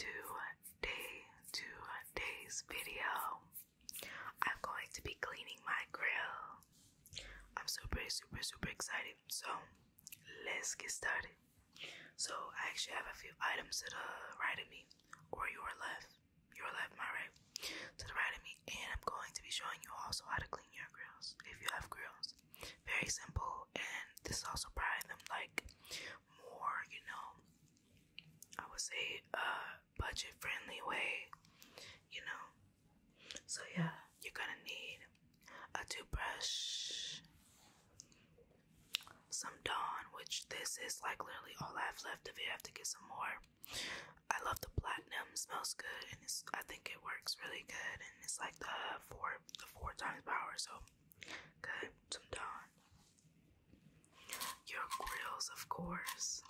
Today, today's video, I'm going to be cleaning my grill. I'm super, super, super excited. So, let's get started. So, I actually have a few items to the right of me, or your left, your left, my right, to the right of me, and I'm going to be showing you also how to clean your grills if you have grills. Very simple, and this is also probably them like more, you know, I would say a uh, budget friendly way, you know. So yeah, you're gonna need a toothbrush, some Dawn, which this is like literally all I have left If you have to get some more. I love the platinum, smells good, and it's, I think it works really good. And it's like the four, the four times power, so good. Some Dawn, your grills, of course.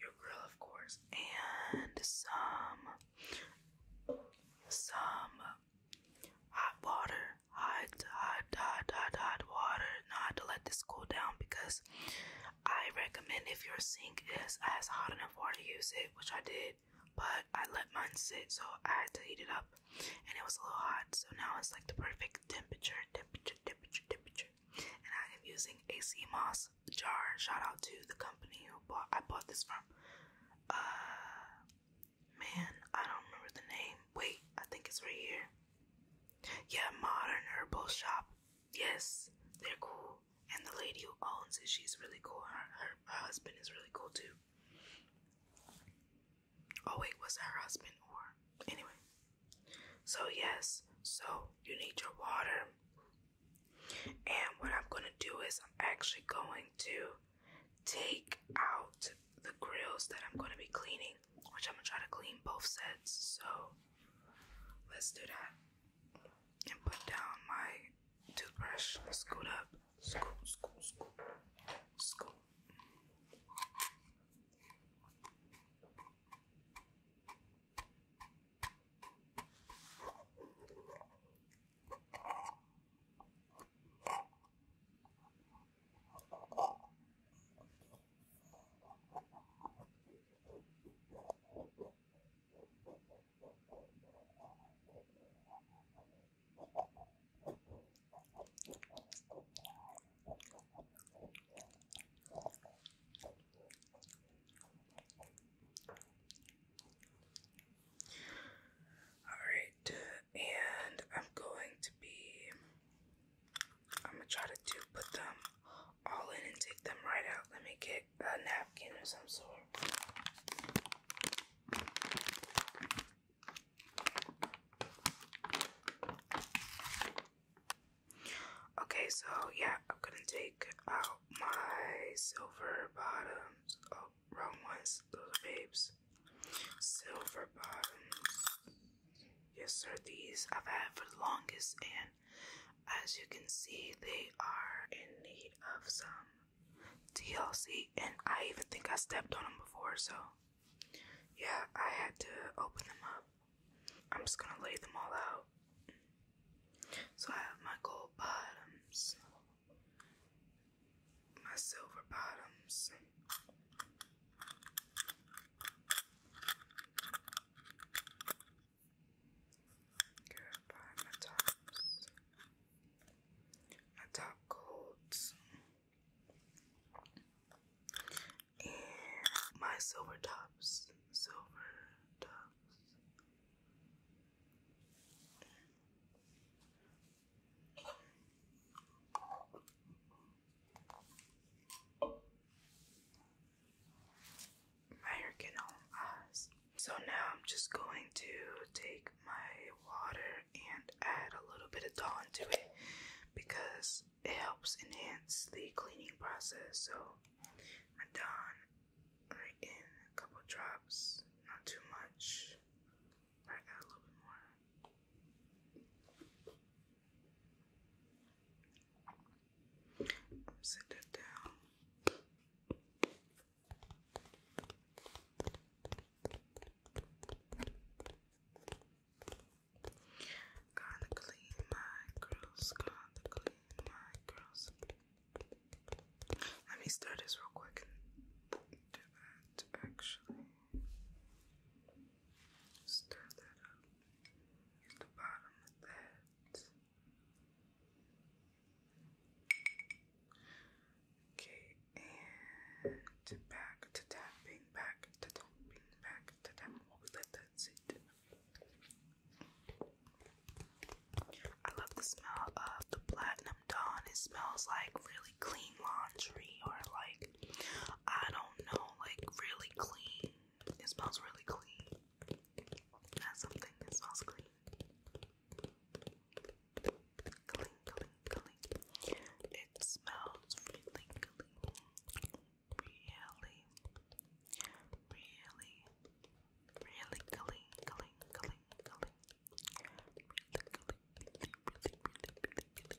Your grill, of course, and some some hot water, hot, hot hot, hot, hot, water, not to let this cool down because I recommend if your sink is as hot enough water, use it, which I did. But I let mine sit, so I had to heat it up, and it was a little hot. So now it's like the perfect temperature, temperature, temperature, temperature. And I am using a sea moss jar. Shout out to the company who bought I bought this from. Uh, man, I don't remember the name. Wait, I think it's right here. Yeah, modern herbal shop. Yes, they're cool. And the lady who owns it, she's really cool. Her, her, husband is really cool too. Oh, wait, was her husband or. Anyway. So, yes, so you need your water. And what I'm gonna do is, I'm actually going to take out the grills that I'm gonna be cleaning which I'm gonna try to clean both sets. So let's do that. And put down my toothbrush. Scoot up. Scoot, scoot, scoot. Scoot. All right, uh, and I'm going to be I'm gonna try to do put them all in and take them right out. Let me get a napkin or some sort. Okay, so yeah, I'm gonna take out my silver bottoms. Oh, wrong ones, those babes. Silver bottoms. Yes, sir, these I've had for the longest, and as you can see, they are in need of some TLC. And I even think I stepped on them before, so yeah, I had to open them up. I'm just gonna lay them all out. So I have my gold bottoms, my silver bottoms, Good by my tops. My top coats. And my silver tops. Silver tops. American Home So now I'm just going to take my water and add a little bit of Dawn to it because it helps enhance the cleaning process. So Dawn right in a couple drops, not too much. I add a little bit more. Sit that down. Gonna clean my girls. Gonna clean my girls. Let me start this real quick actually. Stir that up at the bottom of that. Okay, and back to tapping, back to tapping, back to tapping. Oh, let I love the smell of the Platinum Dawn. It smells like really clean laundry or like, I don't know, like really clean it smells really clean. That's something that smells clean. Clean, clean, clean. It smells really clean. Really, really, really clean, clean, clean, clean. clean,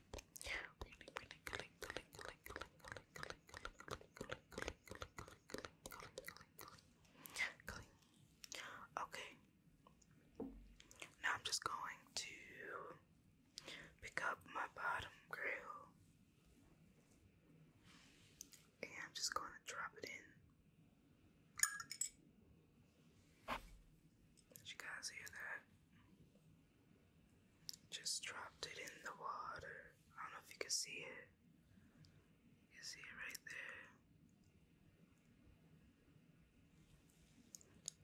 Okay. Now I'm just going to pick up my bottom grill and I'm just going to drop it in. Did you guys hear that? Just dropped it in the water. I don't know if you can see it. You can see it right there.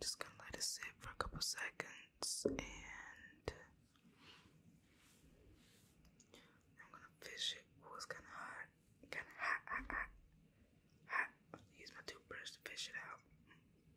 Just gonna let it sit for a couple seconds and I'm gonna fish it. It was kinda hot. Kinda hot, hot, hot. Hot. Use my toothbrush to fish it out.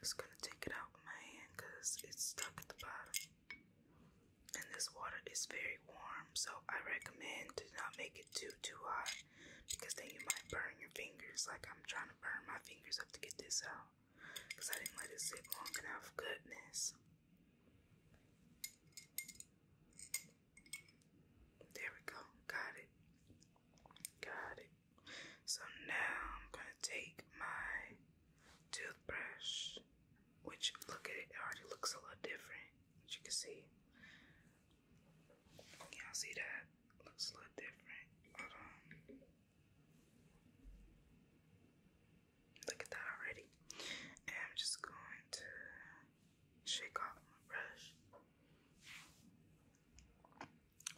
just gonna take it out with my hand because it's stuck at the bottom. And this water is very warm, so I recommend to not make it too too hot because then you might burn your fingers. Like I'm trying to burn my fingers up to get this out because I didn't let it sit long enough. Goodness. There we go. Got it. Got it. So now I'm gonna take my toothbrush, which look at it, already looks a little different, as you can see. Y'all see that? Looks a little different. Hold on. Look at that already. And I'm just going to shake off my brush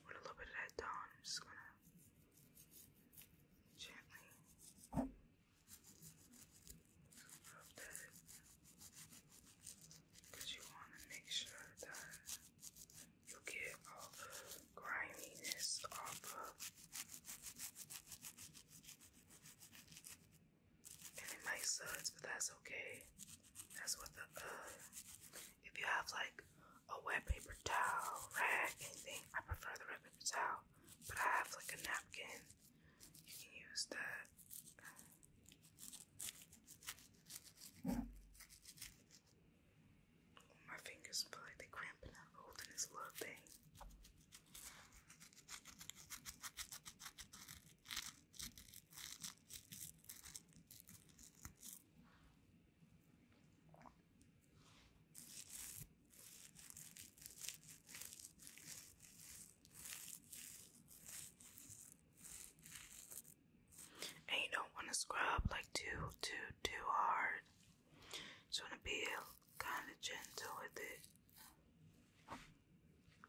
with a little bit of that down, I'm just gonna gently because you want to make sure that you get all the griminess off of and it might suds, but that's okay. That's what the uh, if you have like a wet paper towel, rag, anything. I prefer the red paper towel, but I have like a napkin. You can use that. My fingers feel like they're cramping up holding this little thing. And you don't want to scrub like too, too, too hard. Just want to be kind of gentle with it. I'm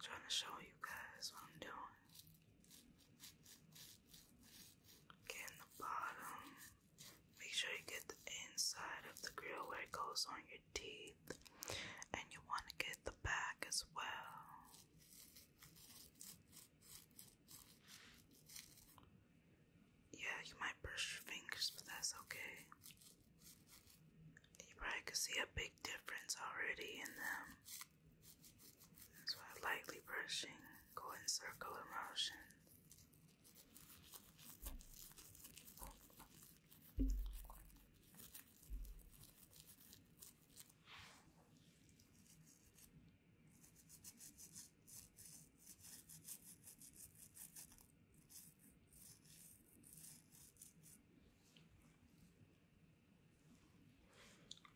trying to show you guys what I'm doing. Get in the bottom. Make sure you get the inside of the grill where it goes on your teeth, and you want to get the back as well. Yeah, you might brush your fingers, but that's okay. You probably can see a big difference already in them. That's lightly brushing, go in circular motion.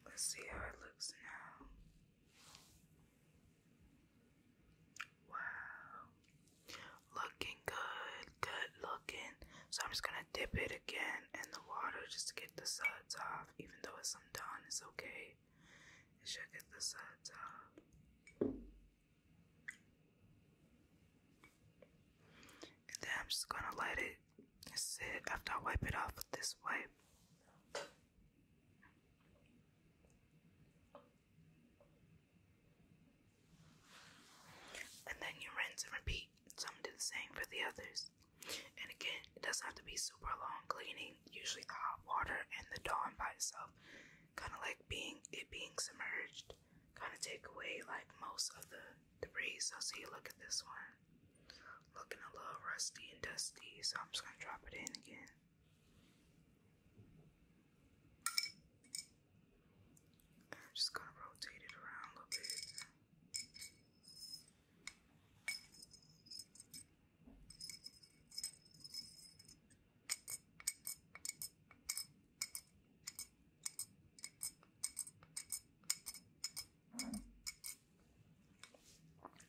Let's see how it looks now. Wow. Looking good, good looking. So I'm just gonna dip it again in the water just to get the suds off. Even though it's undone, it's okay. It should get the suds off. then I'm just gonna let it sit after I wipe it off with this wipe. And then you rinse and repeat. So i Some do the same for the others. And again, it doesn't have to be super long cleaning. Usually the hot water and the Dawn by itself, kind of like being it being submerged, kind of take away like most of the debris. So see, look at this one, looking a little rusty and dusty. So I'm just gonna drop it in again. I'm just gonna rotate it around a little bit.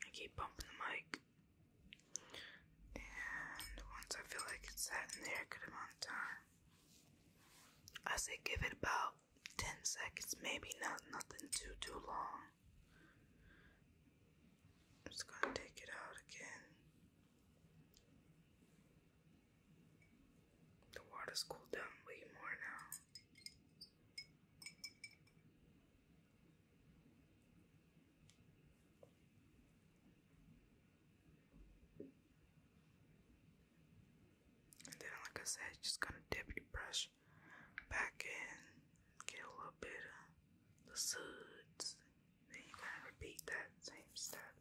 I keep bumping the mic. And once I feel like it's sat in there a good amount of time, I say give it about 10 seconds, maybe not nothing too, too long. I'm just gonna take it out again. The water's cooled down way more now. And then, like I said, just gonna dip your brush back in, get a little bit of the suds. Then you are going to repeat that same step.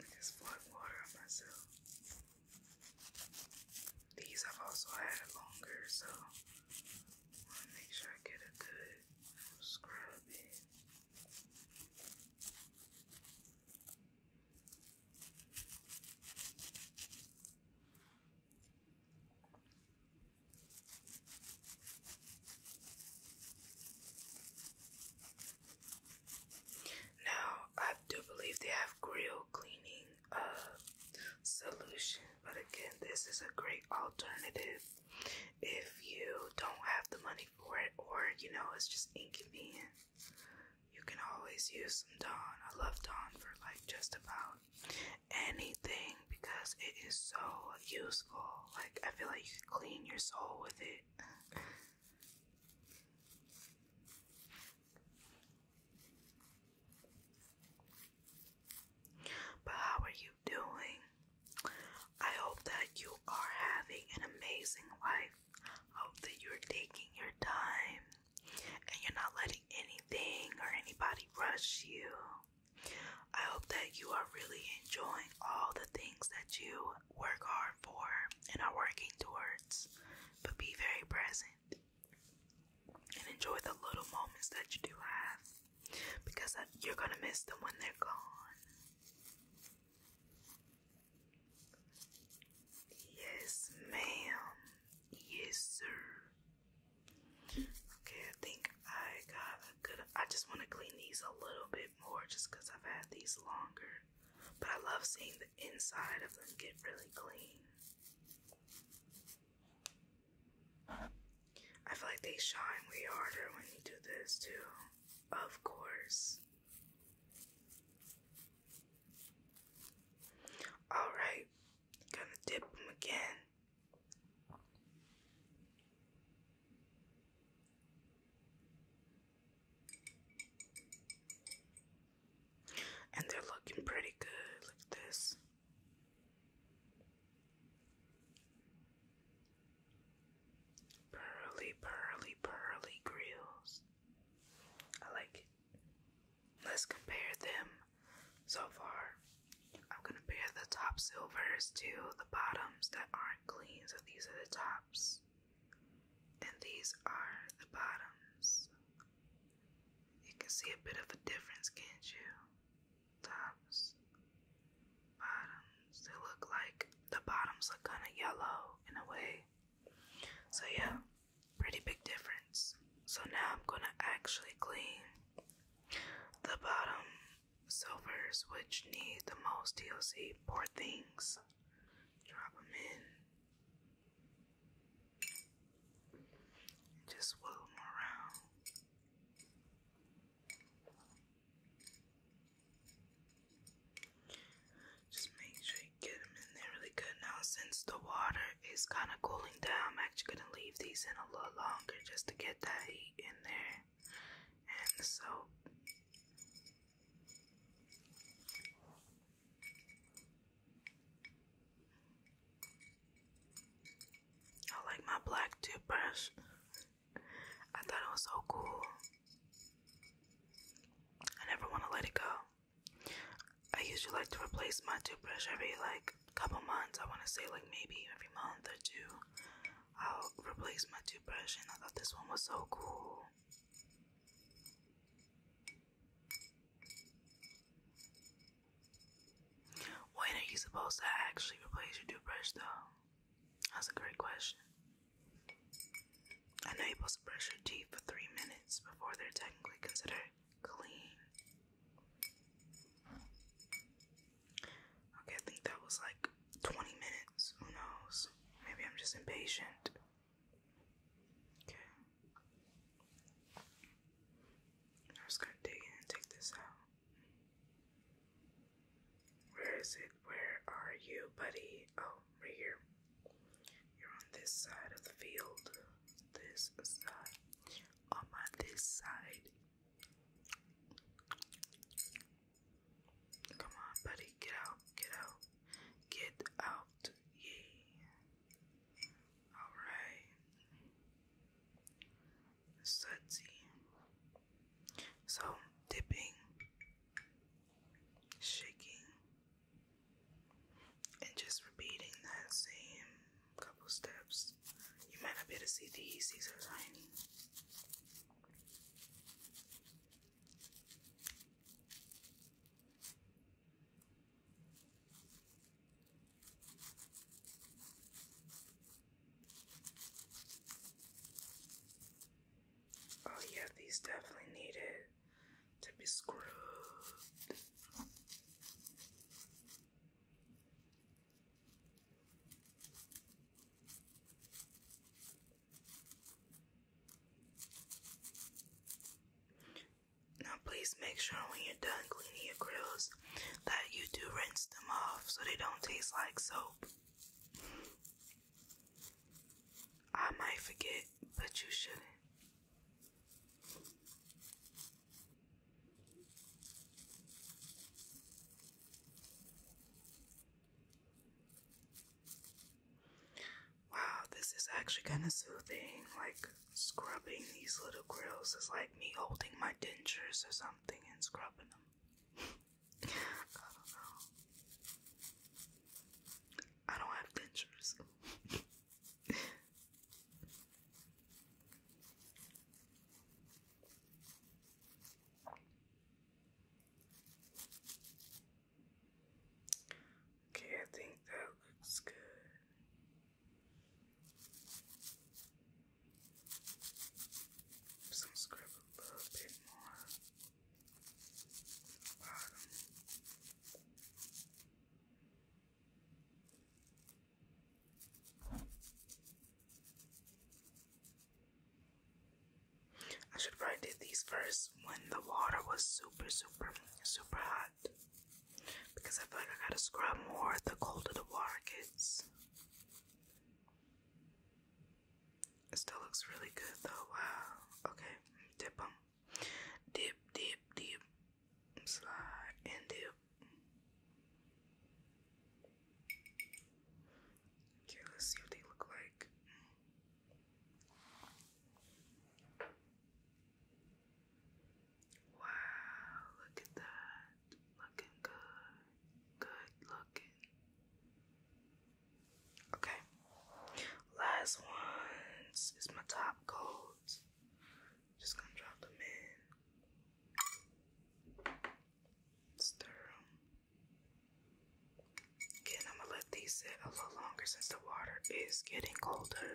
I just flood water on myself. These I've also had longer, so want to make sure I get a good scrubbing. Now, I do believe they have grill cleaning uh, solution but again, this is a great alternative if you don't have the money for it or you know it's just inconvenient. You can always use some Dawn. I love Dawn for like just about anything because it is so useful. Like, I feel like you can clean your soul with it. But how are you doing? I hope that you are having an amazing life. I hope that you're taking your time and you're not letting anything or anybody rush you. I hope that you are really enjoying all the things that you work hard for and are working towards. But be very present and enjoy the little moments that you do have because you're gonna miss them when they're gone. Yes, ma'am. Yes, sir. Okay, I think I got a good. I just want to clean these a little bit more just because I've had these longer. But I love seeing the inside of them get really clean. I feel like they shine way harder when you do this too. Of course. Alright, gonna dip them again. And they're looking pretty good. Look this. Pearly, pearly, pearly grills. I like it. Let's compare them so far. I'm gonna pair the top silvers to the bottoms that aren't clean. So these are the tops, and these are the bottoms. You can see a bit of a difference, can't you? sometimes bottoms. They look like the bottoms look kind of yellow in a way. So, yeah, pretty big difference. So, now I'm gonna actually clean the bottom silvers, which need the most DLC. Poor things. Drop them in. Just wheel them around. Just make sure you get them in there really good. Now, since the water is kind of cooling down, I'm actually going to leave these in a little longer just to get that heat in there and the soap. I like my black toothbrush. I thought it was so cool. I never want to let it go. I usually like to replace my toothbrush every like couple months. I want to say like maybe every month or two. I'll replace my toothbrush and I thought this one was so cool. When are you supposed to actually replace your toothbrush, though? That's a great question. I know you're supposed to brush your teeth for three minutes before they're technically considered clean. Okay, I think that was like 20 minutes. Who knows? Maybe I'm just impatient. Okay. I'm just gonna dig in and take this out. Where is it? Where are you, buddy? Oh, right here. You're on this side of the field. This side. I'm on this side. Come on, buddy. Get out. Get out. Get out. Yeah. Alright sudsy. So, dipping, shaking, and just repeating that same couple steps. You might not be able to see these, these are tiny. Oh yeah, these definitely needed to be scrubbed. Now please make sure when you're done cleaning your grills that you do rinse them off so they don't taste like soap. I might forget, but you shouldn't. Wow, this is actually kind of soothing. Like scrubbing these little grills is like me holding my dentures or something and scrubbing I don't have dentures. okay, I think that looks good. So I'm scrub a little bit more bottom. I should probably did these first when the water was super, super, super hot. Because I feel like I gotta scrub more at the colder the water gets. It still looks really good though. Okay, dip them. Dip, dip, dip. Slide and dip. Okay, let's see what they look like. Wow, look at that looking good, good looking. Okay, last ones is my top coats. Just gonna drop them in, stir them. Again, I'm gonna let these sit a little longer since the water is getting colder.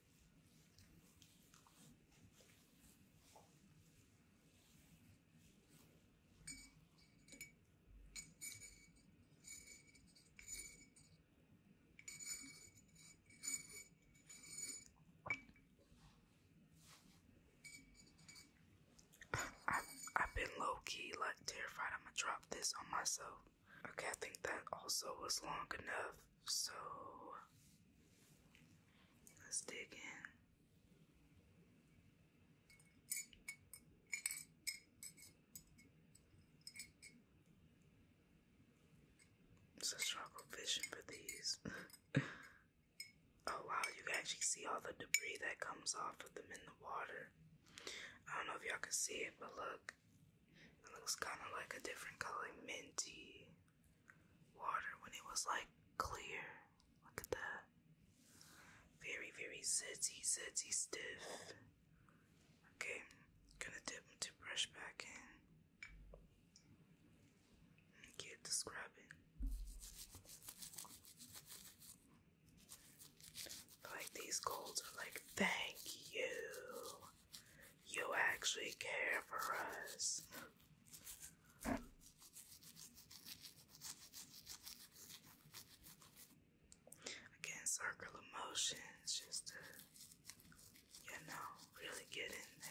I've been low key, like terrified I'm gonna drop this on myself. Okay, I think that also was long enough. So let's dig in. So struggle fishing for these. oh wow, you actually see all the debris that comes off of them in the water. I don't know if y'all can see it, but look. It looks kind of like a different color, minty water when it was like clear. Look at that. Very, very zitzy, zitzy stiff. Okay, gonna dip to brush back in. get the scrubbing. Like these golds are like, thank you. You actually care for us. Again, circle of just to, you know, really get in there.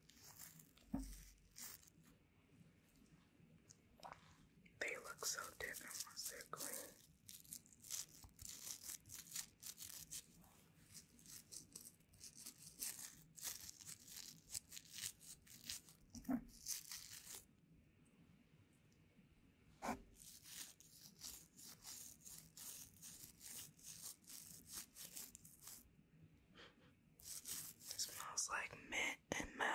They look so different once they're clean smells like mint and metal.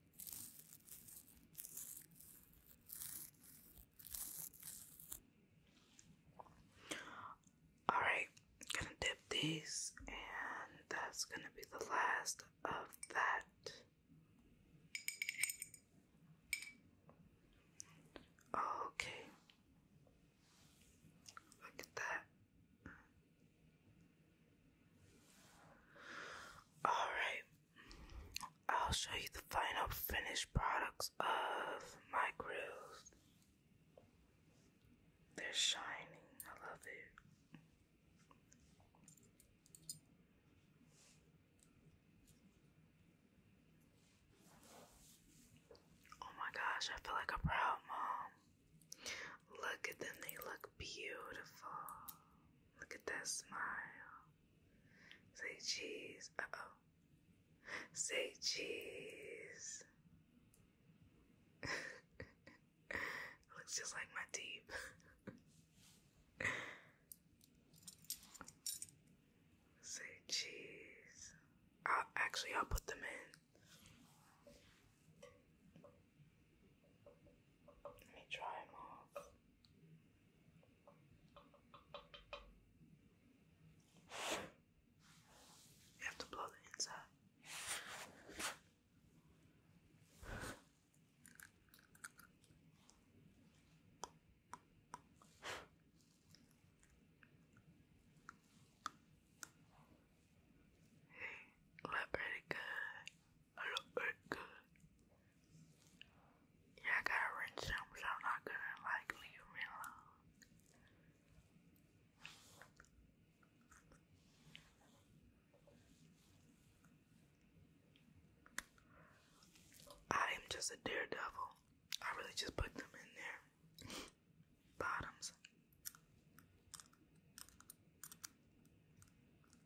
Alright, gonna dip these, and that's gonna be the last of that. Okay, look at that. All right, I'll show you the final finished products of my grills. They're shining. I love it. Oh my gosh, I feel like a proud mom. Look at them, they look beautiful. Look at that smile. Say cheese. Uh oh. Say cheese. Looks just like my teeth. Say cheese. I'll, actually, I'll put them in. Let me try them off. have to blow the inside. Look pretty good. I look good. Yeah, I gotta rinse them, so I'm not gonna like leave me alone. I am just a daredevil. I really just put them in there. Bottoms.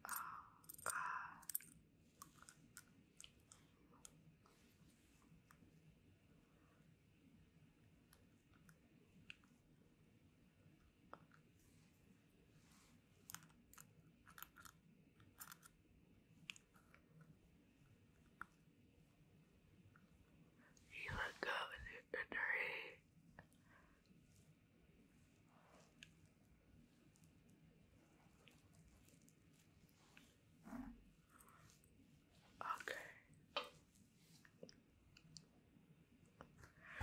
Oh, God. You look up in the Okay.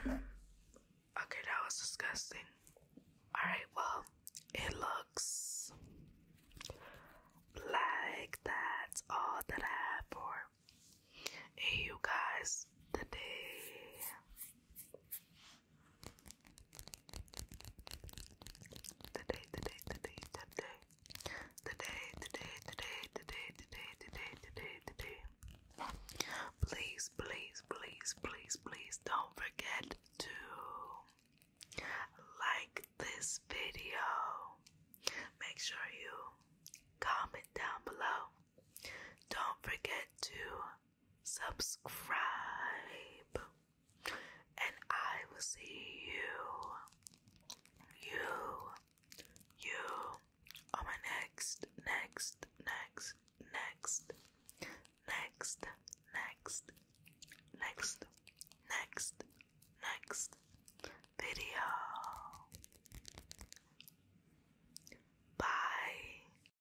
Okay, that was disgusting. Alright, well, it looks like that's all that I have for you guys today. Today, today, today, today. Today, today, today, today, today, today, today, today. Please, please, please, please, please don't forget to like this video. Make sure you comment down below. Don't forget to subscribe, and I will see you, you, you on my next, next, next, next, next, next, next, next, video. Bye.